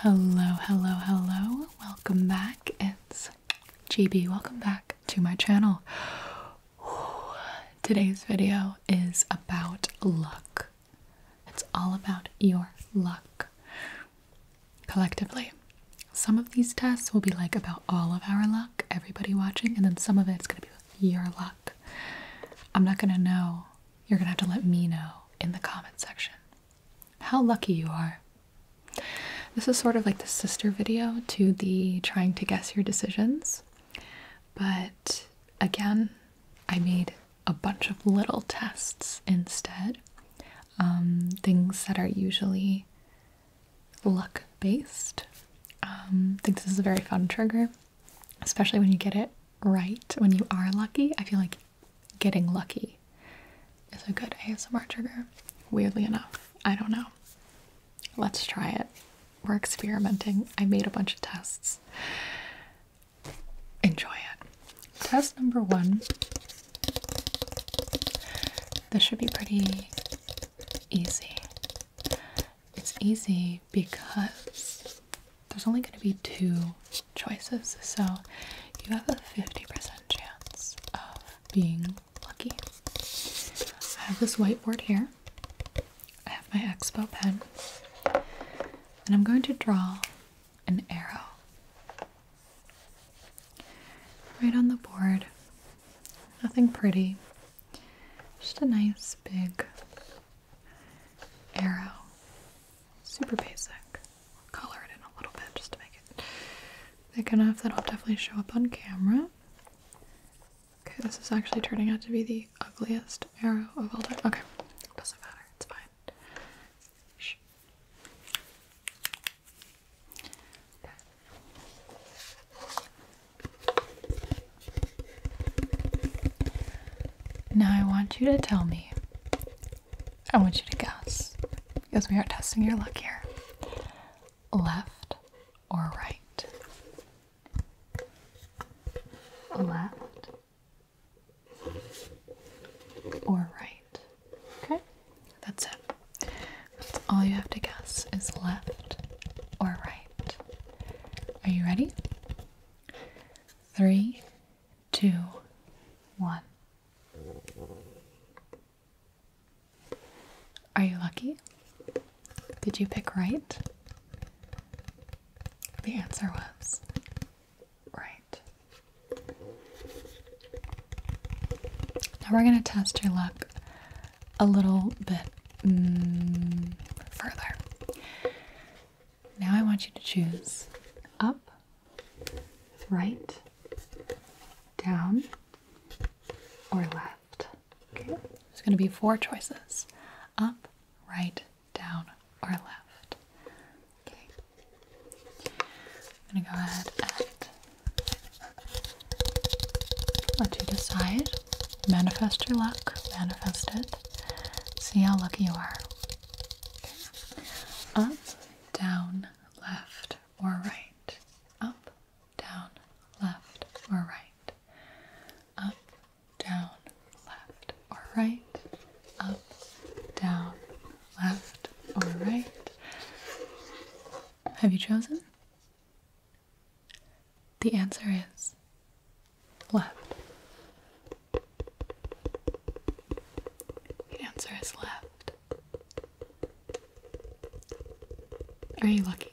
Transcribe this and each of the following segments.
Hello, hello, hello. Welcome back. It's GB. Welcome back to my channel. Today's video is about luck. It's all about your luck collectively. Some of these tests will be like about all of our luck, everybody watching, and then some of it's going to be your luck. I'm not going to know you're going to have to let me know in the comment section how lucky you are. This is sort of like the sister video to the trying to guess your decisions. But again, I made a bunch of little tests instead. Um, things that are usually luck based. I um, think this is a very fun trigger, especially when you get it right. When you are lucky, I feel like getting lucky is a good ASMR trigger. Weirdly enough, I don't know. Let's try it. We're experimenting. I made a bunch of tests. Enjoy it. Test number one. This should be pretty easy. It's easy because there's only going to be two choices, so you have a 50% chance of being lucky. I have this whiteboard here, I have my expo pen, and I'm going to draw an arrow right on the board. Nothing pretty, just a nice big arrow super basic. Color it in a little bit just to make it thick enough that I'll definitely show up on camera. Okay, this is actually turning out to be the ugliest arrow of all time. Okay, doesn't matter, it's fine. Okay. Now I want you to tell me. I want you to guess because we are testing your luck here. Left or right? Left or right? Okay, that's it. That's all you have to guess is left or right. Are you ready? Three, two, one. Are you lucky? Did you pick right? The answer was right. Now we're going to test your luck a little bit mm, further. Now I want you to choose up, right, down, or left. Okay? There's going to be four choices up, right, down, or left. Okay. I'm going to go ahead and let you decide. Manifest your luck, manifest it. See how lucky you are. Up, down, left, or right. Up, down, left, or right. Up, down, left, or right. Up, down, left, or right. Have you chosen? The answer is Left. The answer is left. Are you lucky?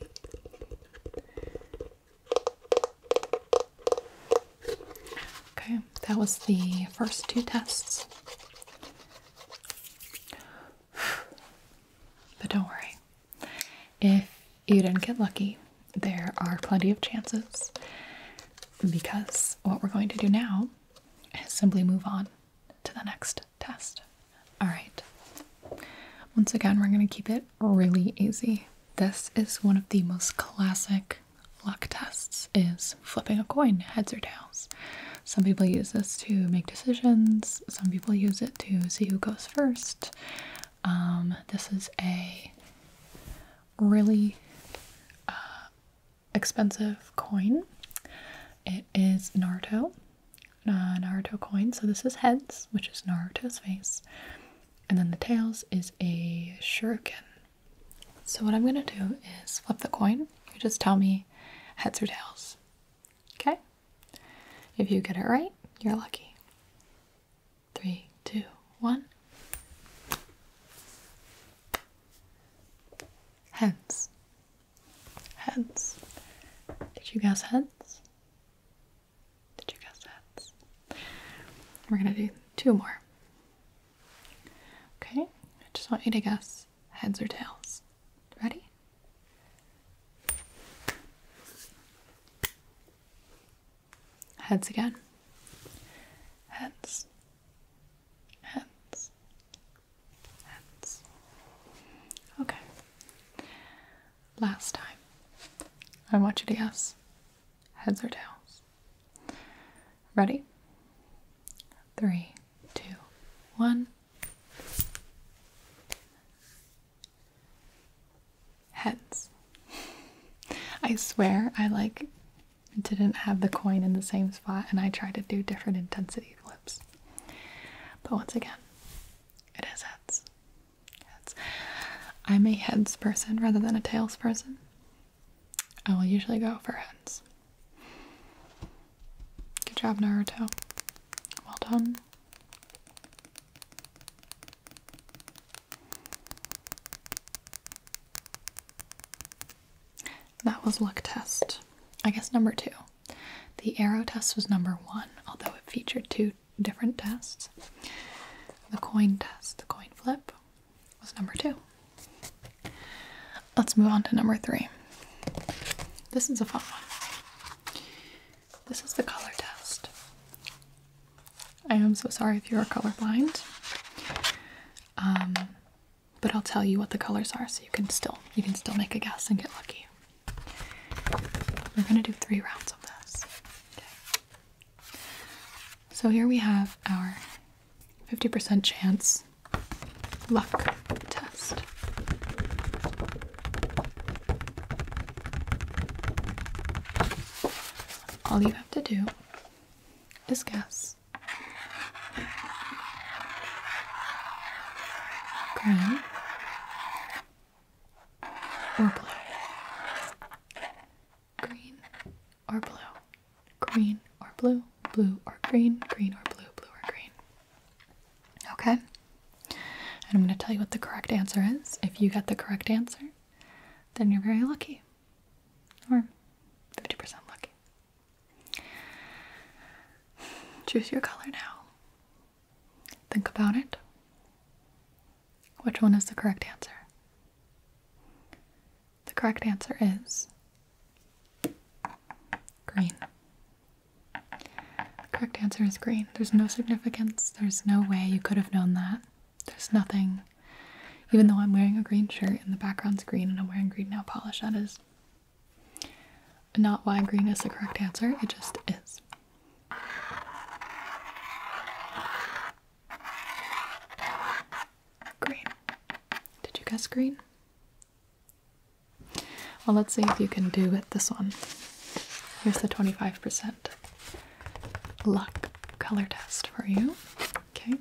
Okay, that was the first two tests. But don't worry. If you didn't get lucky, there are plenty of chances because what we're going to do now is simply move on to the next test. All right. Once again, we're going to keep it really easy. This is one of the most classic luck tests is flipping a coin, heads or tails. Some people use this to make decisions. Some people use it to see who goes first. Um, this is a really uh, expensive coin. It is Naruto, uh, Naruto coin. So this is heads, which is Naruto's face, and then the tails is a shuriken. So what I'm gonna do is flip the coin. You just tell me heads or tails. Okay. If you get it right, you're lucky. Three, two, one. Heads. Heads. Did you guess heads? Did you guess heads? We're gonna do two more. Okay, I just want you to guess heads or tails. Ready? Heads again. Heads. Heads. Heads. Okay. Last time. I want you to guess heads or tails. Ready? Three, two, one. Heads. I swear I like it didn't have the coin in the same spot, and I tried to do different intensity flips. But once again, it is heads. heads. I'm a heads person rather than a tails person. I will usually go for heads. Good job, Naruto. Well done. That was luck test. I guess number two. The arrow test was number one, although it featured two different tests. The coin test, the coin flip, was number two. Let's move on to number three. This is a fun one. This is the color test. I am so sorry if you are colorblind. Um, but I'll tell you what the colors are so you can still you can still make a guess and get lucky. We're gonna do three rounds of this. So here we have our 50% chance luck test. All you have to do is gas. Green or blue. Green or blue. Green or blue. Blue or green. Green or blue. Blue or green. Okay? And I'm going to tell you what the correct answer is. If you get the correct answer, then you're very lucky. Or 50% lucky. Choose your color now. Think about it. Which one is the correct answer? The correct answer is green. correct answer is green. There's no significance. There's no way you could have known that. There's nothing, even though I'm wearing a green shirt and the background's green and I'm wearing green nail polish, that is not why green is the correct answer, it just is. Green. Did you guess green? Well, let's see if you can do with this one. Here's the 25% luck color test for you. Okay,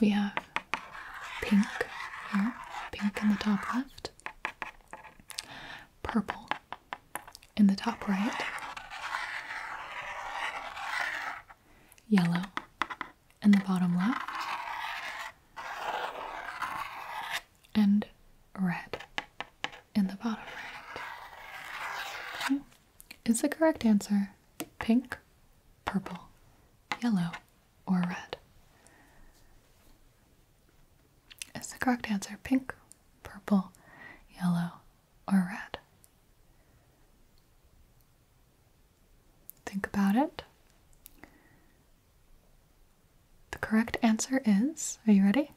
we have pink here, pink in the top left, purple in the top right, yellow in the bottom left, and red in the bottom right. Is the correct answer pink, purple, yellow, or red? Is the correct answer pink, purple, yellow, or red? Think about it. The correct answer is, are you ready?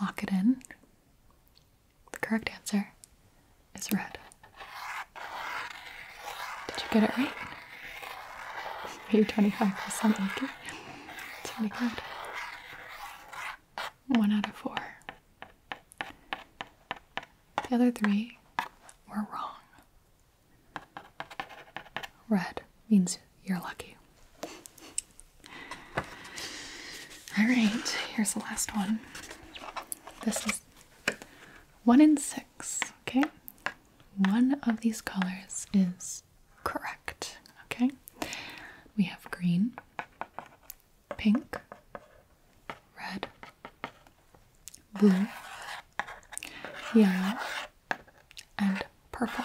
Lock it in. The correct answer is red. Did you get it right? Are you 25% lucky? It's pretty good. One out of four. The other three were wrong. Red means you're lucky. All right, here's the last one. This is one in six, okay? One of these colors is correct, okay? We have green, pink, red, blue, yellow, and purple.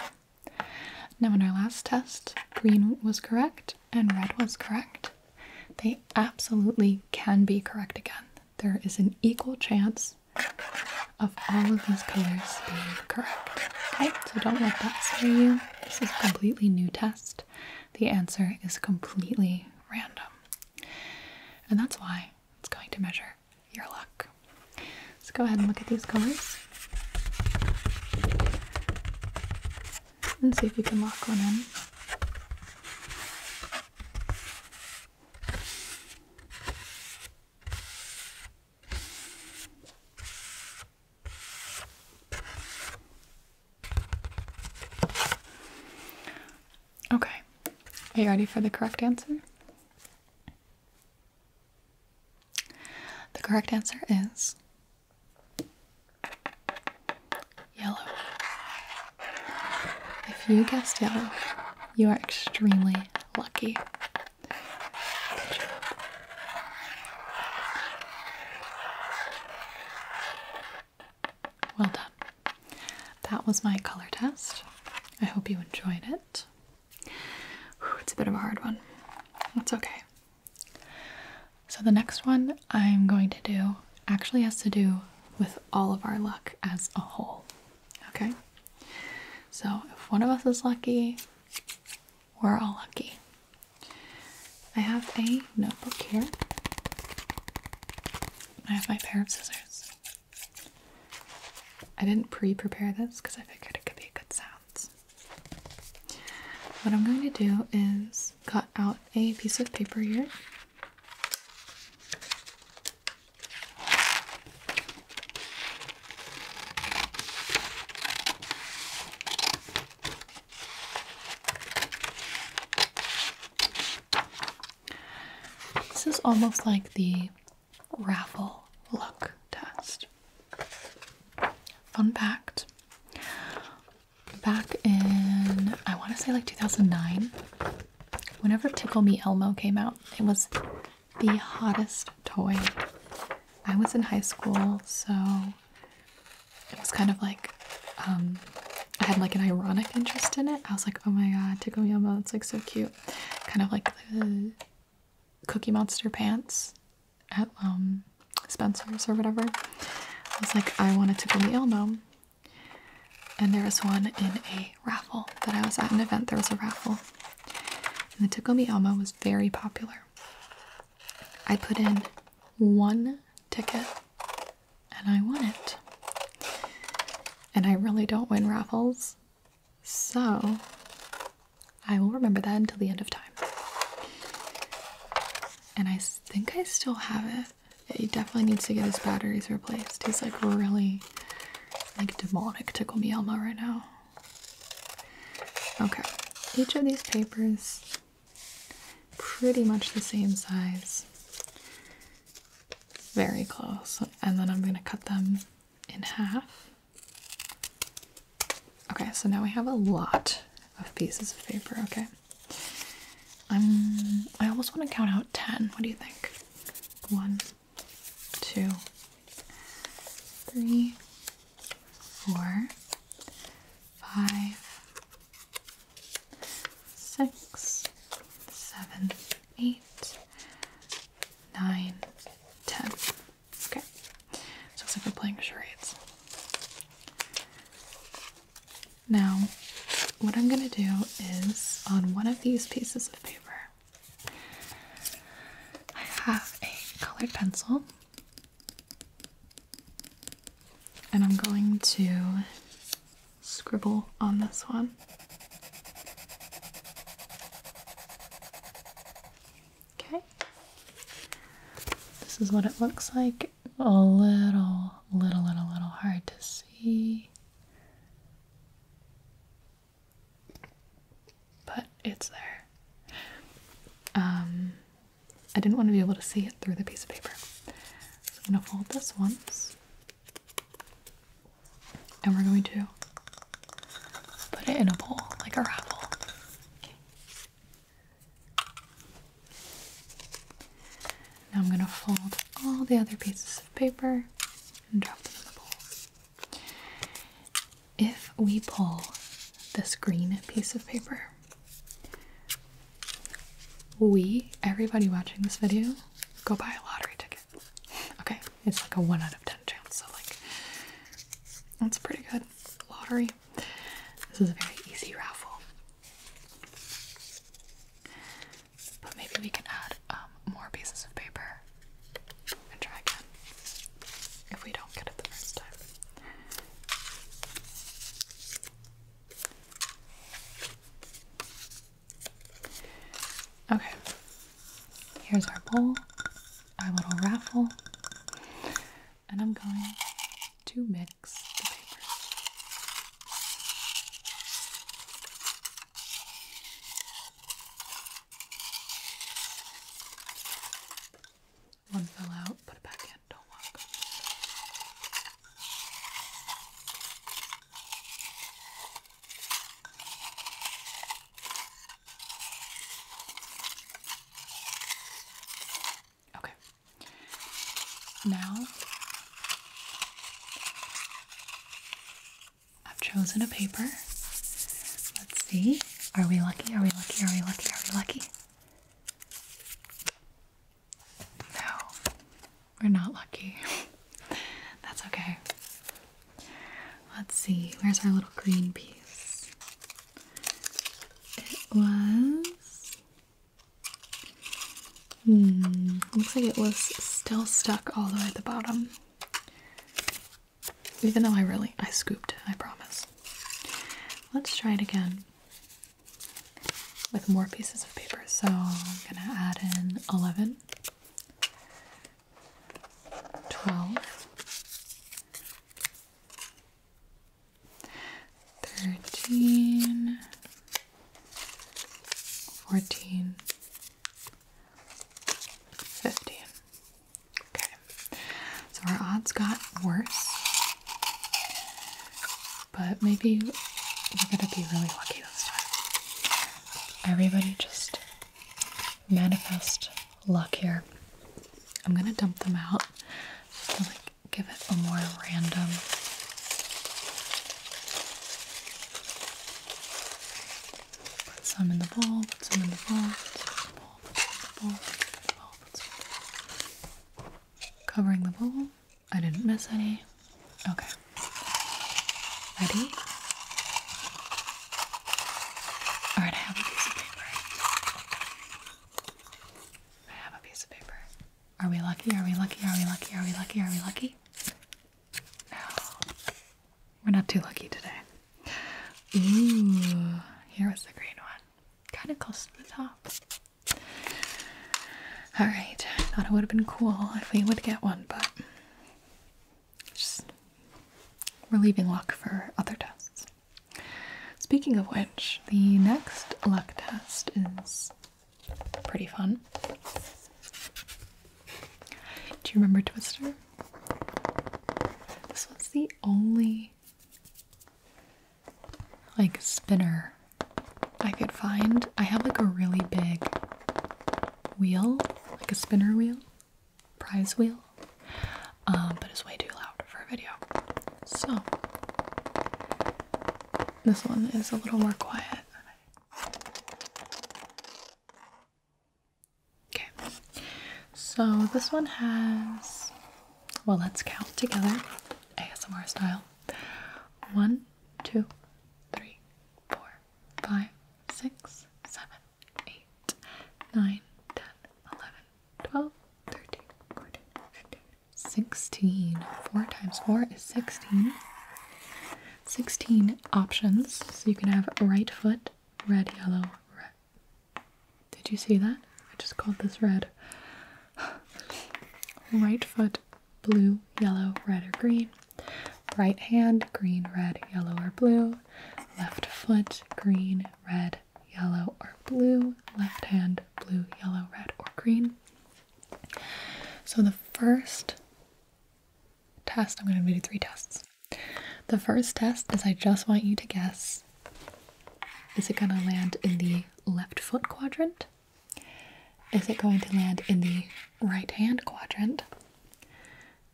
Now, in our last test, green was correct and red was correct. They absolutely can be correct again. There is an equal chance of all of these colors being correct. so don't let that scare you. This is a completely new test. The answer is completely random. And that's why it's going to measure your luck. Let's go ahead and look at these colors and see if you can lock one in. Okay, are you ready for the correct answer? The correct answer is Yellow. If you guessed yellow, you are extremely lucky. Well done. That was my color test. I hope you enjoyed it. It's a bit of a hard one. That's okay. So the next one I'm going to do actually has to do with all of our luck as a whole. Okay? So if one of us is lucky, we're all lucky. I have a notebook here. I have my pair of scissors. I didn't pre prepare this because I figured it could be a good sound. What I'm going to do is cut out a piece of paper here. This is almost like the raffle look test. Fun fact back in I want to say like 2009 whenever Tickle Me Elmo came out it was the hottest toy I was in high school so it was kind of like um, I had like an ironic interest in it I was like oh my god Tickle Me Elmo it's like so cute kind of like the Cookie Monster pants at um, Spencer's or whatever. I was like, I want a Tickle Me Ill And there was one in a raffle that I was at an event. There was a raffle. And the Tickle Me Elmo was very popular. I put in one ticket and I won it. And I really don't win raffles. So I will remember that until the end of time and I think I still have it. He definitely needs to get his batteries replaced. He's like really like demonic tickle me Elmo right now. Okay, each of these papers pretty much the same size. Very close. And then I'm gonna cut them in half. Okay, so now we have a lot of pieces of paper, okay? I'm, I almost want to count out 10. What do you think? One, two, three, four, five, six, seven, eight, nine, ten. Okay. looks like we're playing charades. Now, what I'm going to do is on one of these pieces of paper, I have a colored pencil, and I'm going to scribble on this one. Okay, this is what it looks like a little, little, little, little hard to see. But it's there. Um, I didn't want to be able to see it through the piece of paper. So I'm going to fold this once. And we're going to put it in a bowl, like a raffle. Now I'm going to fold all the other pieces of paper and drop them in the bowl. If we pull this green piece of paper, we, everybody watching this video, go buy a lottery ticket. Okay, it's like a 1 out of 10 chance, so like, that's pretty good. Lottery, this is a very easy raffle. But maybe we can add um, more pieces of paper and try again if we don't get it the first time. Okay, here's our bowl, our little raffle and I'm going to mix the papers. One fell out, put it back in, don't walk. Okay. Now I've chosen a paper. Let's see. Are we lucky? Are we lucky? Are we lucky? Are we lucky? No, we're not lucky. That's okay. Let's see. Where's our little green piece? It was. Hmm, looks like it was still stuck all the way at the bottom. Even though I really, I scooped, I promise. Let's try it again with more pieces of paper. So I'm gonna add in 11, 12, thirteen, fourteen, fifteen. Okay, so our odds got worse, but maybe we're gonna be really lucky this time. Everybody just manifest luck here. I'm gonna dump them out give it a more random put some in the bowl, put some in the bowl, covering the bowl. I didn't miss any. Okay. Ready? Alright, I have a piece of paper. I have a piece of paper. Are we lucky? Are we lucky? Are we lucky? Are we lucky? Are we lucky? No. We're not too lucky today. Ooh, here was the green one. Kind of close to the top. Alright, thought it would have been cool if we would get one, but just we're leaving luck for other tests. Speaking of which, the next luck test is pretty fun. Do you remember Twister? This was the only like spinner I could find. I have like a really big wheel, like a spinner wheel, prize wheel um, but it's way too loud for a video. So this one is a little more quiet. Okay, so this one has, well, let's count together ASMR style. One, two, three, four, five, six, seven, eight, nine, ten, eleven, 12, 13, 14, 15, 16. 4 times 4 is 16. 16 options. So you can have right foot, red, yellow, red. Did you see that? I just called this red. right foot, blue, yellow, red, or green. Right hand, green, red, yellow, or blue. Left foot, green, red, yellow, or blue, left hand, blue, yellow, red, or green. So the first test, I'm going to do three tests. The first test is I just want you to guess is it going to land in the left foot quadrant? Is it going to land in the right hand quadrant?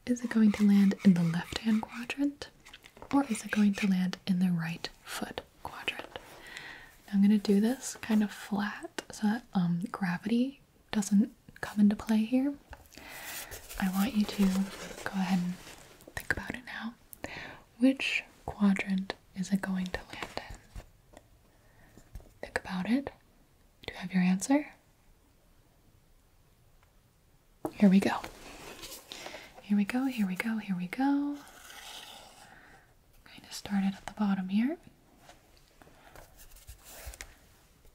Is it going to land in the left hand quadrant? Or is it going to land in the right foot quadrant, I'm gonna do this kind of flat so that um, gravity doesn't come into play here. I want you to go ahead and think about it now. Which quadrant is it going to land in? Think about it. Do you have your answer? Here we go. Here we go, here we go, here we go. Kind of started at the bottom here.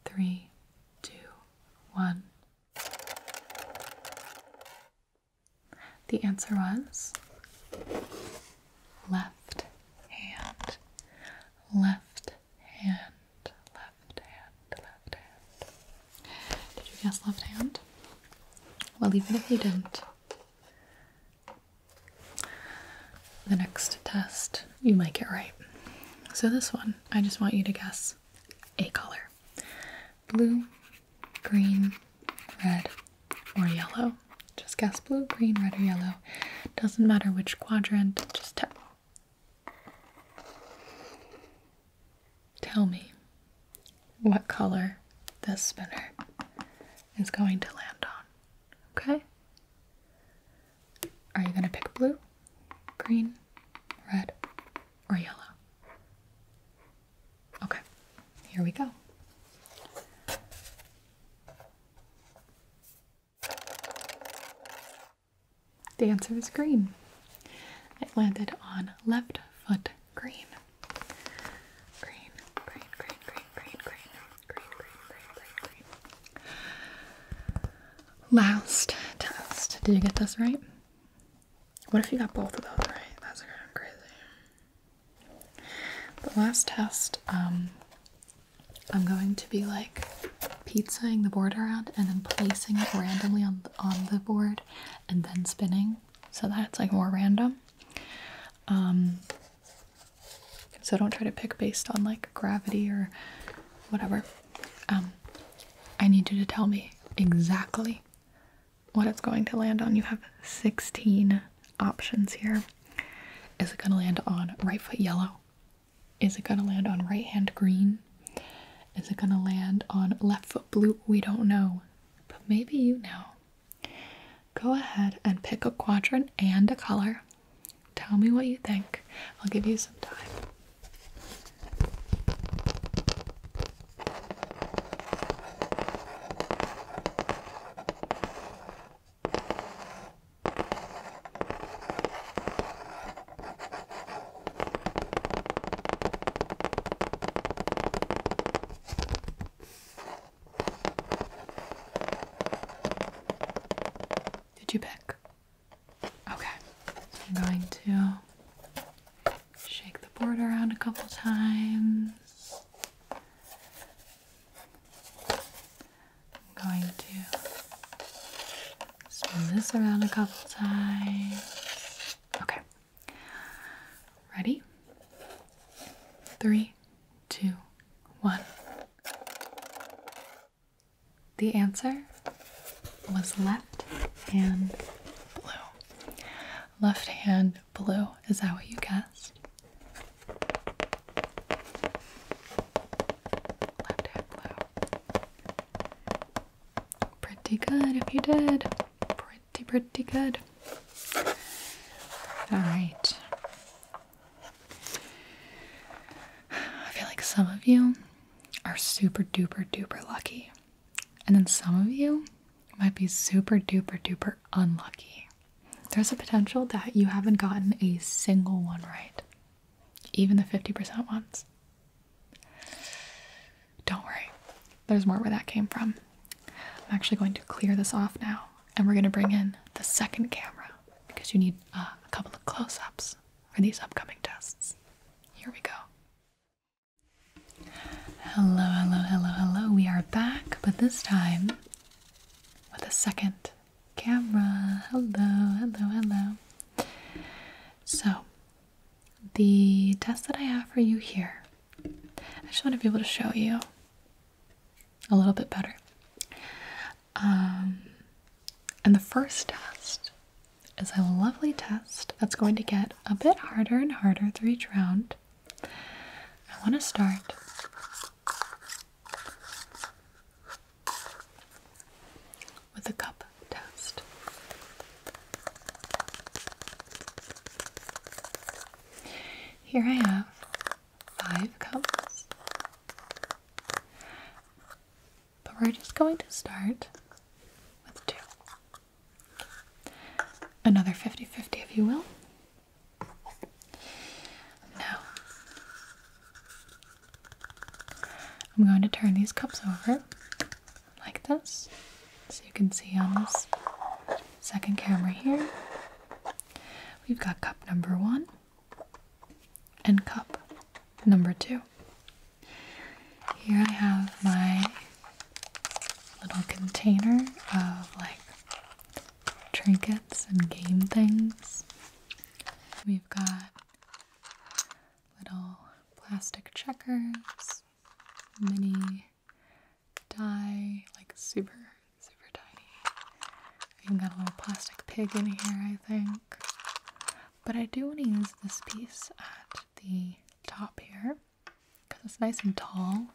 Three, two, one. The answer was left hand, left hand, left hand, left hand. Did you guess left hand? Well, even if you didn't, the next test you might get right. So, this one, I just want you to guess a color blue, green, red, or yellow. Just guess blue, green, red, or yellow. Doesn't matter which quadrant, just tap. Tell me what color this spinner is going to land on, okay? Are you going to pick blue, green, red, or yellow? Okay, here we go. The answer is green. It landed on left foot green, green, green, green, green, green, green, green, green, green, green, Last test. Did you get this right? What if you got both of those right? That's kind of crazy. The last test, um, I'm going to be like pizzaing the board around and then placing it randomly on on the board and then spinning so that's like more random. Um, so don't try to pick based on like gravity or whatever. Um, I need you to tell me exactly what it's going to land on. You have 16 options here. Is it going to land on right foot yellow? Is it going to land on right hand green? Is it going to land on left foot blue? We don't know but maybe you know. Go ahead and pick a quadrant and a color. Tell me what you think. I'll give you some time. Did you pick? Okay. So I'm going to shake the board around a couple times. I'm going to spin this around a couple times. Okay, Ready? Three, two, one. The answer was left hand blue. Left hand blue. Is that what you guessed? Left hand blue. Pretty good if you did pretty, pretty good. Alright. I feel like some of you are super duper duper lucky. And then some of you might be super duper duper unlucky. There's a potential that you haven't gotten a single one right, even the 50% ones. Don't worry, there's more where that came from. I'm actually going to clear this off now and we're going to bring in the second camera because you need uh, a couple of close ups for these upcoming tests. Here we go. Hello, hello, hello, hello. We are back, but this time with a second camera. Hello, hello, hello. So, the test that I have for you here. I just want to be able to show you a little bit better. Um, and the first test is a lovely test that's going to get a bit harder and harder through each round. I want to start with a cup test. Here I have five cups, but we're just going to start with two. Another 50 50, if you will. Now, I'm going to turn these cups over like this. So you can see on this second camera here, we've got cup number one and cup number two. Here I have my little container of like trinkets and game things. We've got little plastic checkers mini die, like super, super tiny. I even got a little plastic pig in here, I think. But I do want to use this piece at the top here because it's nice and tall.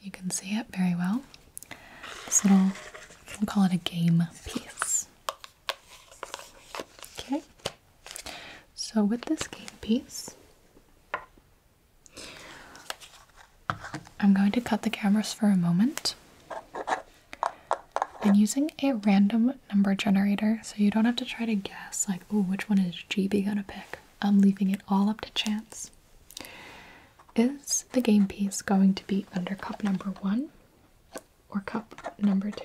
You can see it very well. This little, we'll call it a game piece. Okay, so, with this game piece, I'm going to cut the cameras for a moment. I'm using a random number generator, so you don't have to try to guess, like, oh, which one is GB gonna pick? I'm leaving it all up to chance. Is the game piece going to be under cup number one or cup number two?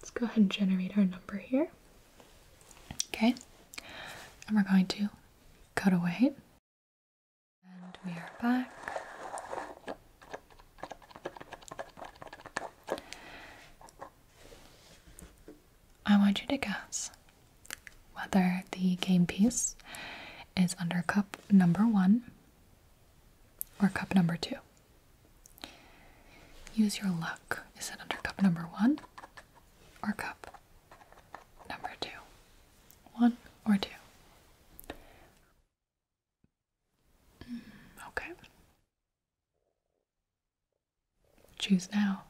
Let's go ahead and generate our number here. Okay, and we're going to cut away. And we are back. I want you to guess whether the game piece is under cup number one or cup number two. Use your luck. Is it under cup number one or cup number two? One or two? Mm, okay. Choose now.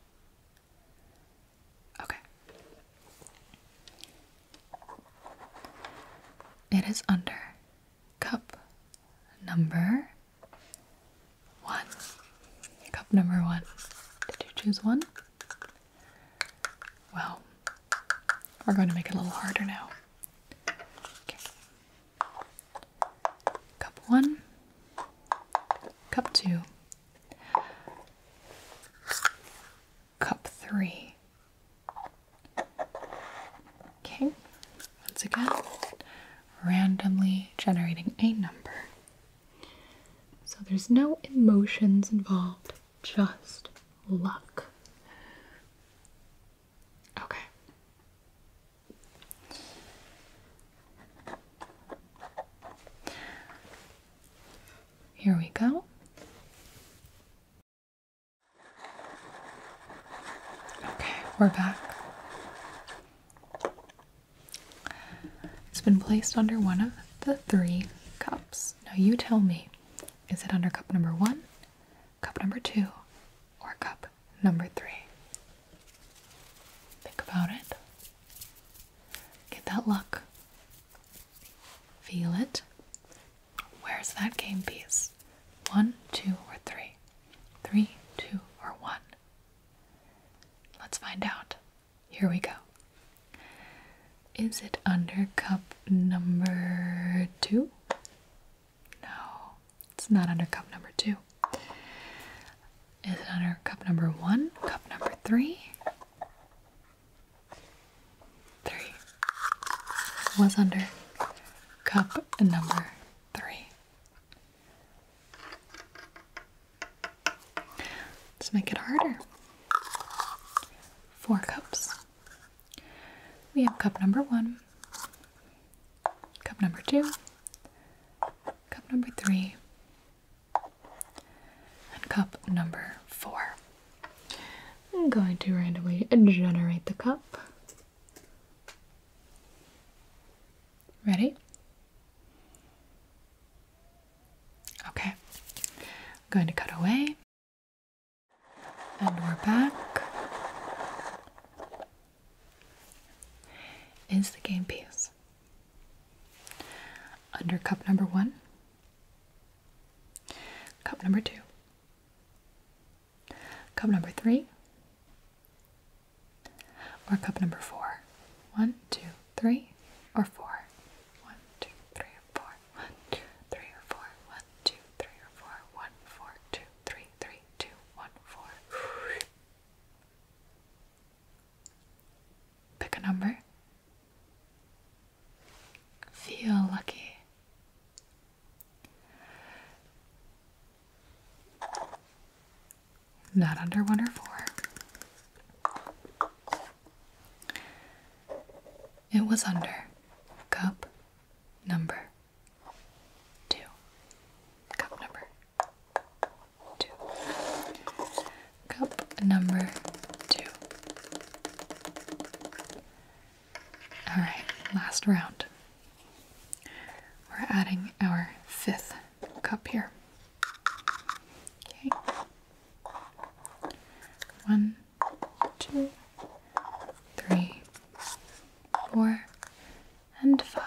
Okay. It is under cup number one. Cup number one. Did you choose one? Well, we're going to make it a little harder now. Cup one, cup two, cup three, Okay, once again, randomly generating a number. So there's no emotions involved, just luck. Okay. Here we go. Okay, we're back. It's been placed under one of the three cups. Now you tell me, is it under cup number one, cup number two, or cup number three? Think about it. Get that luck. Feel it. Where's that game piece? One, two, or three? Three, two, or one? Let's find out. Here we go. Is it under cup number two? No, it's not under cup number two. Is it under cup number one? Cup number three? Three. It was under cup number three. Let's make it harder. Four cups. We have cup number one, cup number two, cup number three, and cup number four. I'm going to randomly generate the cup. Ready? Okay, I'm going to cut away. And we're back. Is the game piece under cup number one, cup number two, Cup number three or cup number four. One, two, three, or four. One, two, three, or four. One, two, three, or four. One, two, three, or four. One, four, two, three, three, two, one, four. Pick a number. Feel lucky. Not under one or four. It was under cup number two. Cup number two. Cup number two. All right, last round. We're adding our fifth cup here. Okay. One, two, three, four, and five.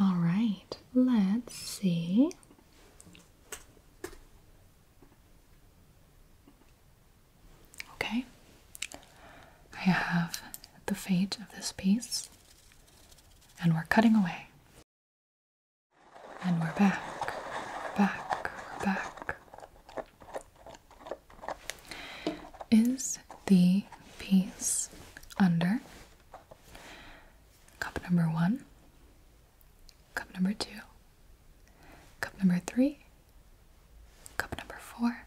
All right, let's see. Okay, I have the fate of this piece, and we're cutting away. And we're back, back, back. Is the piece under cup number one? cup number two, cup number three, cup number four,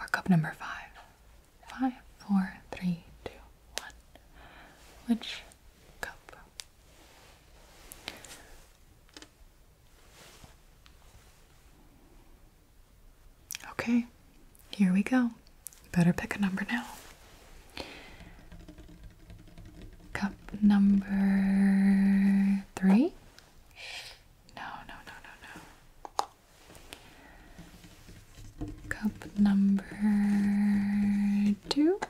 or cup number five? Five, four, three, two, one. Which cup? Okay, here we go. Better pick a number now. Cup number three? No, no, no, no, no. Cup number two?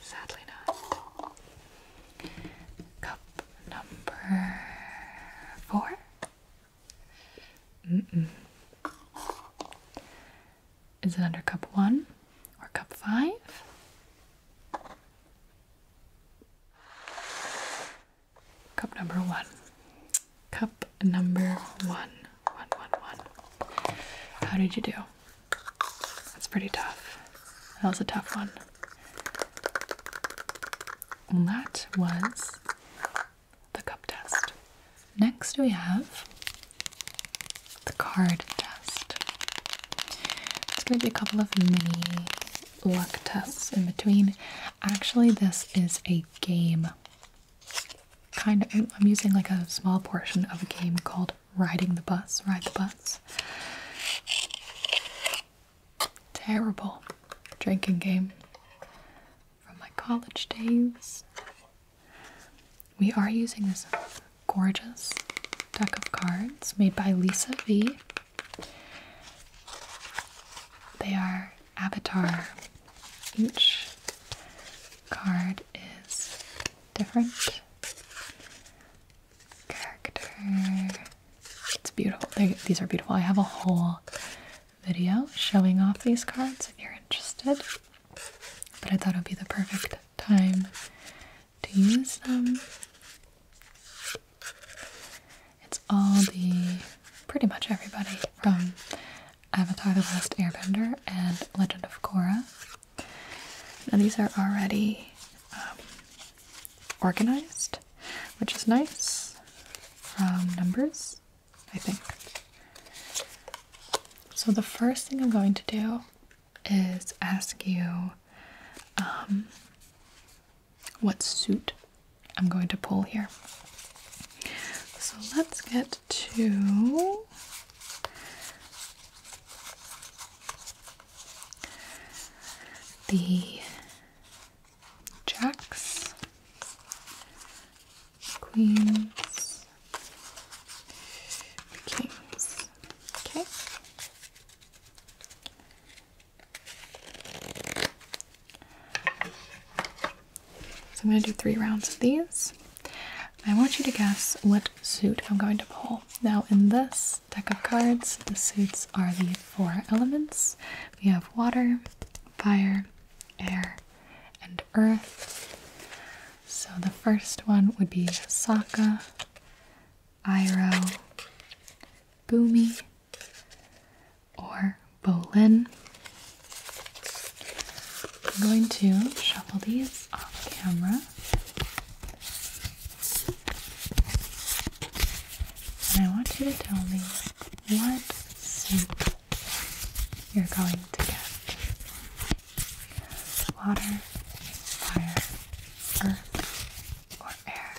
Sadly not. Cup number four? Is it under cup one or cup five? Cup number one. Cup number one. One, one, one. How did you do? That's pretty tough. That was a tough one. And that was the cup test. Next, we have the card test. It's going to be a couple of mini luck tests in between. Actually, this is a game. Kind of, I'm using like a small portion of a game called Riding the Bus. Ride the Bus. Terrible drinking game from my college days. We are using this gorgeous deck of cards made by Lisa V. They are avatar. Each card is different character. It's beautiful. these are beautiful. I have a whole video showing off these cards if you're interested. But I thought it would be the perfect time to use them. It's all the pretty much everybody from Avatar The Last Airbender and Legend of Korra. Now, these are already um, organized, which is nice from numbers, I think. So, the first thing I'm going to do is ask you um, what suit I'm going to pull here. So let's get to the jacks queens, kings. Okay. So I'm going to do three rounds of these. I want you to guess what suit I'm going to pull. Now, in this deck of cards, the suits are the four elements we have water, fire, air, and earth. So the first one would be Saka, Iro, Boomy, or Bolin. I'm going to shuffle these off camera. And I want you to tell me what soup you're going to get water, fire, earth, or air.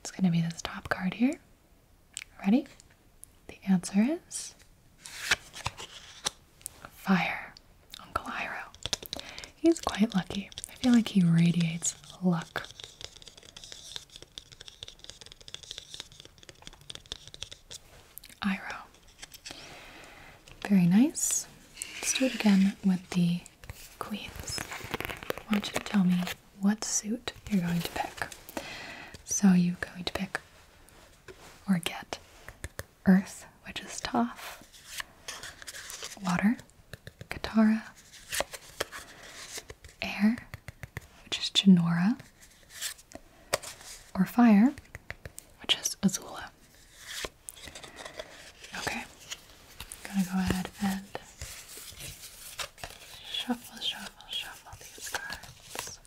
It's going to be this top card here. Ready? The answer is fire. Uncle Iro. He's quite lucky. I feel like he radiates luck. Iro. Very nice. Let's do it again with the queens. Why don't you tell me what suit you're going to pick. So you're going to pick or get Earth, which is Toph, Water, Katara, air, which is Genora, or fire, which is Azula. Okay, gonna go ahead and shuffle, shuffle, shuffle these cards.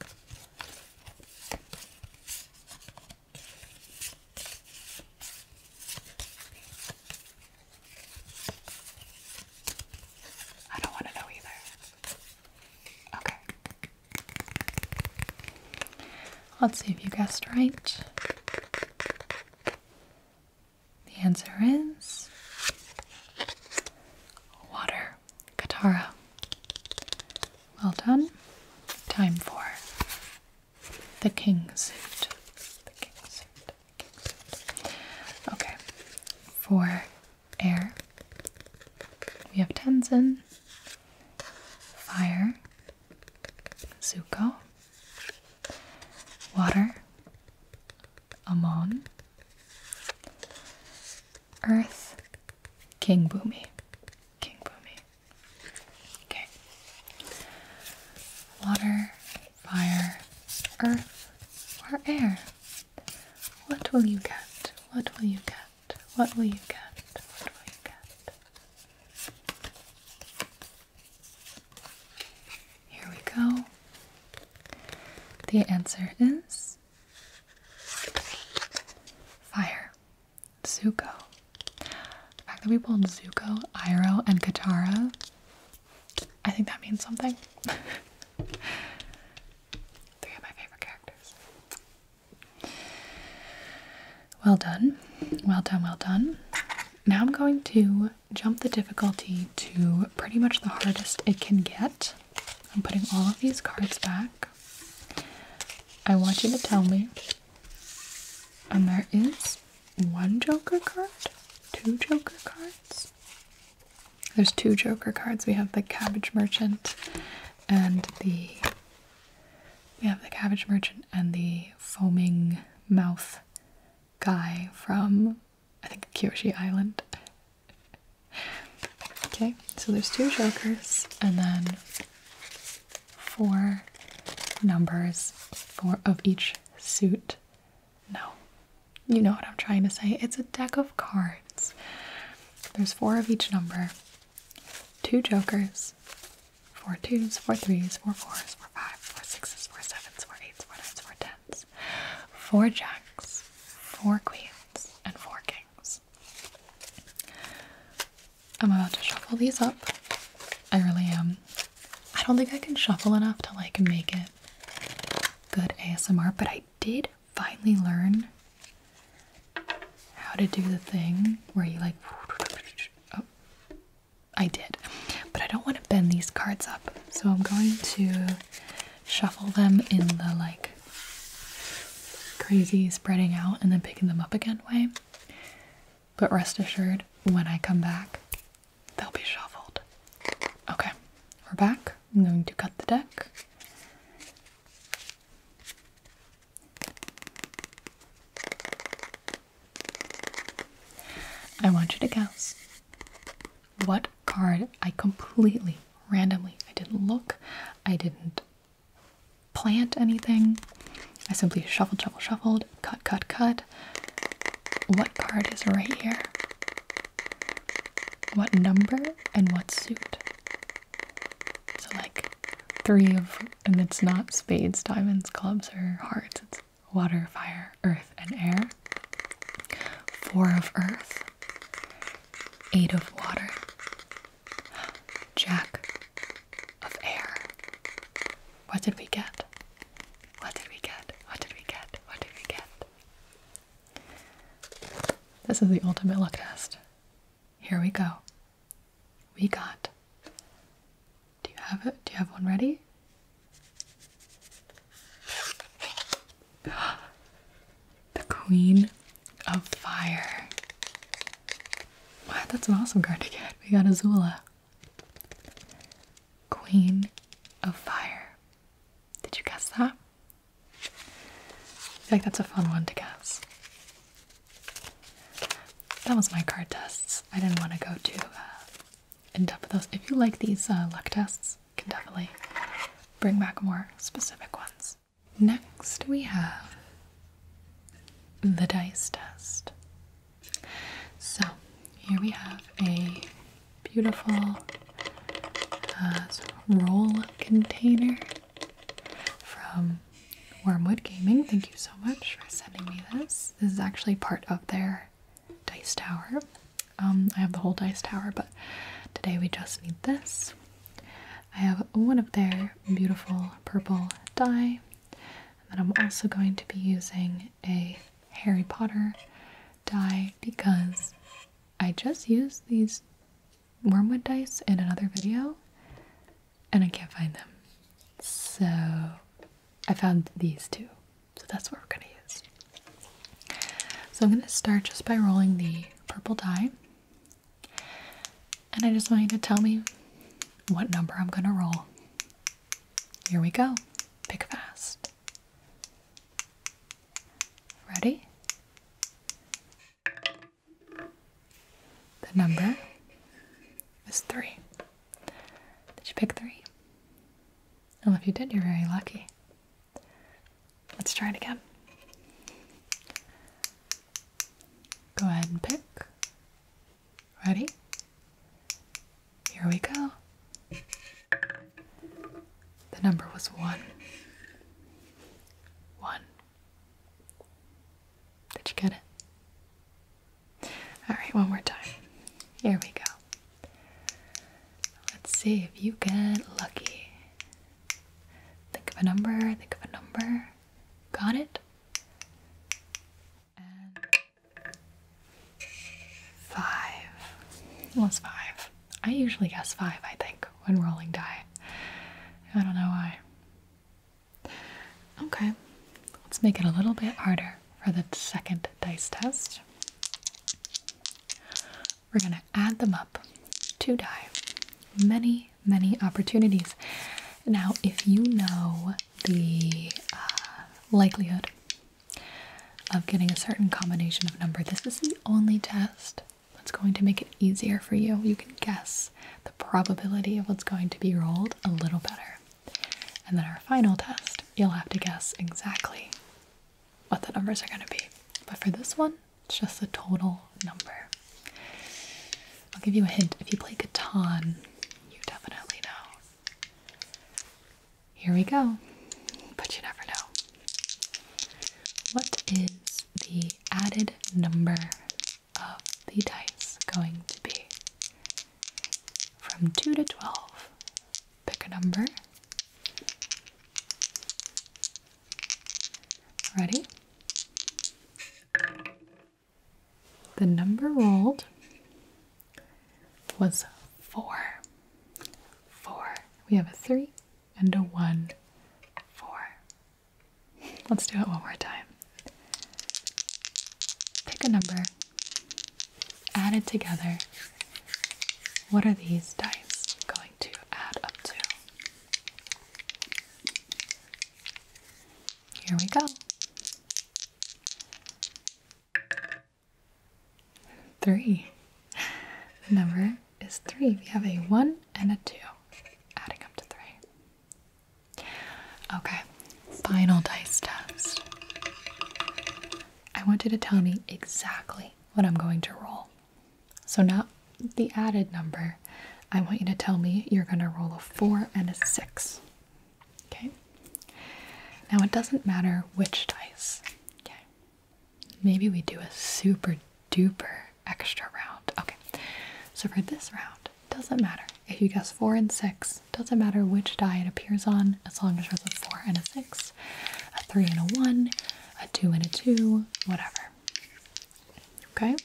I don't want to know either. Okay. Let's see if you guessed right. The answer is water. Katara. Well done. Time for the king suit. The king suit. Okay. For air. We have Tenzin, fire, Zuko, water, Amon, earth, King Boomy. King Boomy. Okay. Water, fire, earth, or air? What will you get? What will you get? What will you get? What will you get? Here we go. The answer is fire. Zuko. The fact that we pulled Zuko, Iroh, and Katara, I think that means something. Three of my favorite characters. Well done. Well done, well done. Now I'm going to jump the difficulty to pretty much the hardest it can get. I'm putting all of these cards back. I want you to tell me. And there is one Joker card, two Joker cards, there's two Joker cards. We have the Cabbage Merchant and the we have the Cabbage Merchant and the foaming mouth guy from I think Kyoshi Island. okay, so there's two jokers and then four numbers four of each suit. No, you know what I'm trying to say. It's a deck of cards. There's four of each number, two jokers, four twos, four threes, four fours, four fives, four sixes, four sevens, four eights, four nines, four tens, four jacks, four queens, and four kings. I'm about to shuffle these up. I really am. I don't think I can shuffle enough to like make it good ASMR, but I did finally learn how to do the thing where you like oh I did but I don't want to bend these cards up so I'm going to shuffle them in the like crazy spreading out and then picking them up again way but rest assured when I come back they'll be shuffled okay we're back I'm going to cut the deck I want you to guess what card I completely randomly. I didn't look, I didn't plant anything. I simply shuffled, shuffled, shuffled, cut, cut, cut. What card is right here? what number and what suit. So, like, three of, and it's not spades, diamonds, clubs, or hearts. It's water, fire, earth, and air. Four of earth, eight of water, jack of air. What did we get? What did we get? What did we get? What did we get? This is the ultimate luck test. Here we go. We got. Do you have it? Do you have one ready? The Queen of Fire. Wow, that's an awesome card to get. We got Azula. Queen of Fire. Did you guess that? I feel like that's a fun one to guess. That was my card tests. I didn't want to go too uh, in depth with those. If you like these uh, luck tests, you can definitely bring back more specific ones. Next, we have the dice test. So here we have a beautiful uh, roll container from Wormwood Gaming. Thank you so much for sending me this. This is actually part of their dice tower. Um, I have the whole dice tower, but today we just need this. I have one of their beautiful purple dye, and then I'm also going to be using a Harry Potter dye because I just used these wormwood dice in another video and I can't find them. So I found these two. So that's what we're going to use. So I'm going to start just by rolling the purple die. And I just want you to tell me what number I'm going to roll. Here we go. Pick fast. Ready? The number is three. Did you pick three? Well, if you did, you're very lucky. Let's try it again. Go ahead and pick. Ready? Here we go. The number was one. One. Did you get it? Alright, one more time. Here we go. Let's see if you get lucky. Think of a number, think of a number. Got it? five. It five. I usually guess five, I think, when rolling die. I don't know why. Okay, let's make it a little bit harder for the second dice test. We're going to add them up to die. Many, many opportunities. Now, if you know the uh, likelihood of getting a certain combination of number. This is the only test that's going to make it easier for you. You can guess the probability of what's going to be rolled a little better. And then our final test, you'll have to guess exactly what the numbers are going to be. But for this one, it's just a total number. I'll give you a hint. If you play Catan, you definitely know. Here we go. But you never know. What is the added number of the dice going to be? From 2 to 12, pick a number. Ready? The number rolled was four. Four. We have a three, into 1, 4. Let's do it one more time. Pick a number, add it together. What are these dice going to add up to? Here we go. Three. The number is three. We have a one and a two, adding up to three. Okay, final dice test. I want you to tell me exactly what I'm going to roll. So, not the added number. I want you to tell me you're going to roll a four and a six. Okay? Now, it doesn't matter which dice. Okay? Maybe we do a super duper extra round. Okay, so for this round, doesn't matter if you guess four and six, doesn't matter which die it appears on, as long as there's a four and a six, a three and a one, a two and a two, whatever. Okay,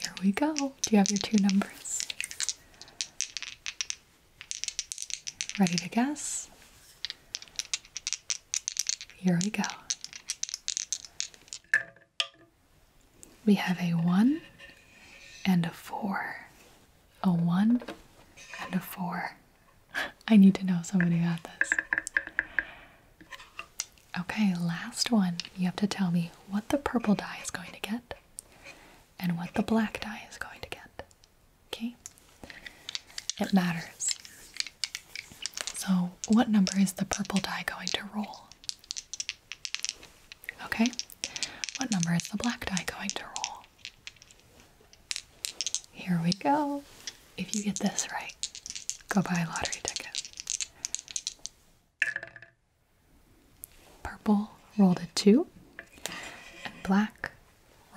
here we go. Do you have your two numbers? Ready to guess? Here we go. We have a 1 and a 4. A 1 and a 4. I need to know somebody got this. Okay, last one. You have to tell me what the purple die is going to get and what the black die is going to get. Okay? It matters. So, what number is the purple die going to roll? Okay? What number is the black die going to roll? Here we go. If you get this right, go buy a lottery ticket. Purple rolled a 2 and black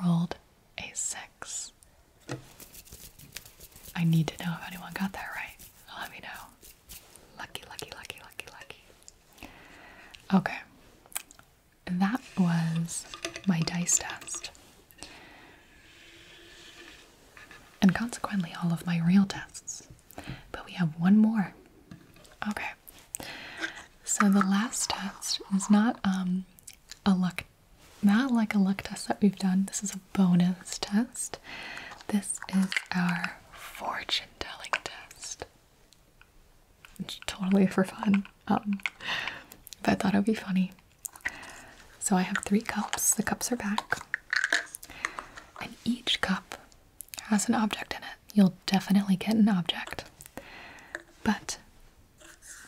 rolled a six. I need to know if anyone got that right. Let me know. Lucky, lucky, lucky, lucky, lucky. Okay. That was my dice test. And consequently, all of my real tests. But we have one more. Okay. So the last test is not um, a luck not like a luck test that we've done. This is a bonus test. This is our fortune telling test. It's totally for fun. Um, but I thought it would be funny. So I have three cups. The cups are back. And each cup has an object in it. You'll definitely get an object. But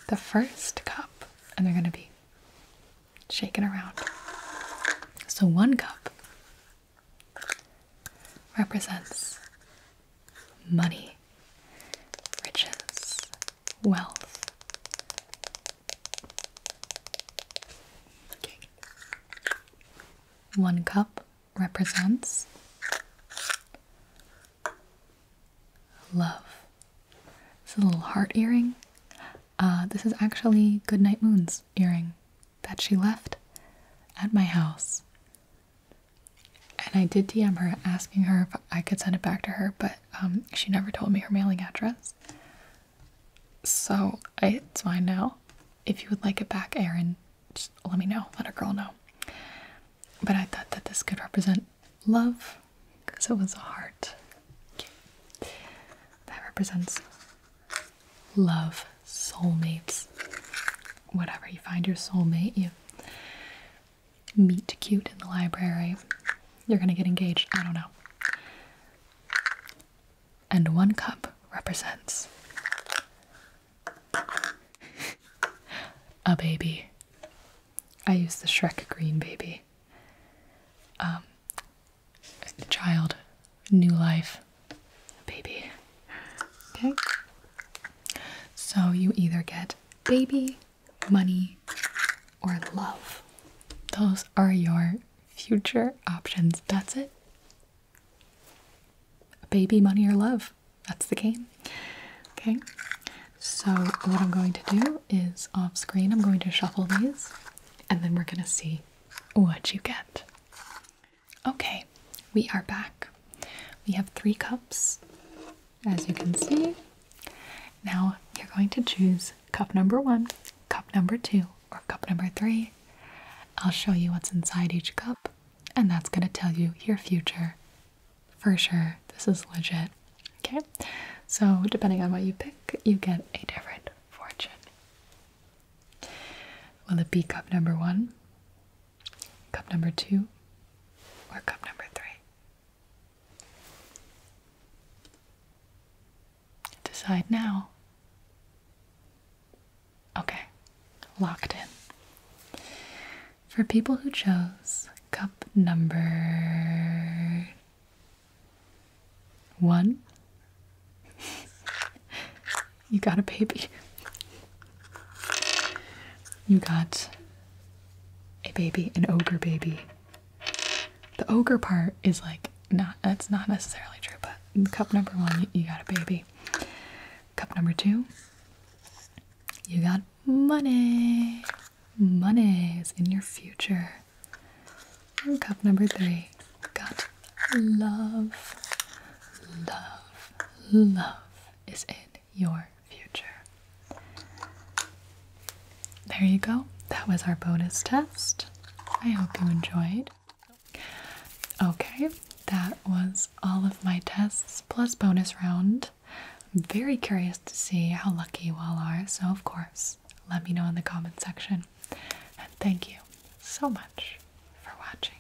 the first cup and they're going to be shaken around. So one cup represents money, riches, wealth. Okay. One cup represents Love. This is a little heart earring. Uh, this is actually Goodnight Moon's earring that she left at my house. And I did DM her asking her if I could send it back to her, but um, she never told me her mailing address. So it's mine now. If you would like it back, Erin, just let me know. Let a girl know. But I thought that this could represent love because it was a heart. That represents love, soulmates. Whatever, you find your soulmate, you meet cute in the library, you're gonna get engaged. I don't know. And one cup represents a baby. I use the Shrek Green Baby. Um, child, new life, baby. Okay. So you either get baby, money, or love. Those are your future options. That's it. Baby, money, or love. That's the game. Okay, so what I'm going to do is off screen, I'm going to shuffle these and then we're going to see what you get. Okay, we are back. We have three cups, as you can see. Now you're going to choose cup number one, cup number two, or cup number three. I'll show you what's inside each cup, and that's going to tell you your future for sure this is legit. Okay, so depending on what you pick, you get a different fortune. Will it be cup number one, cup number two, or cup number three? Decide now. Okay, locked in for people who chose cup number one. you got a baby. You got a baby, an ogre baby. The ogre part is like not that's not necessarily true, but cup number one, you got a baby. Cup number two, you got money money is in your future. cup number three got love. Love. Love is in your future. There you go. That was our bonus test. I hope you enjoyed. Okay, that was all of my tests plus bonus round. I'm very curious to see how lucky you all are. So, of course, let me know in the comment section. And thank you so much for watching.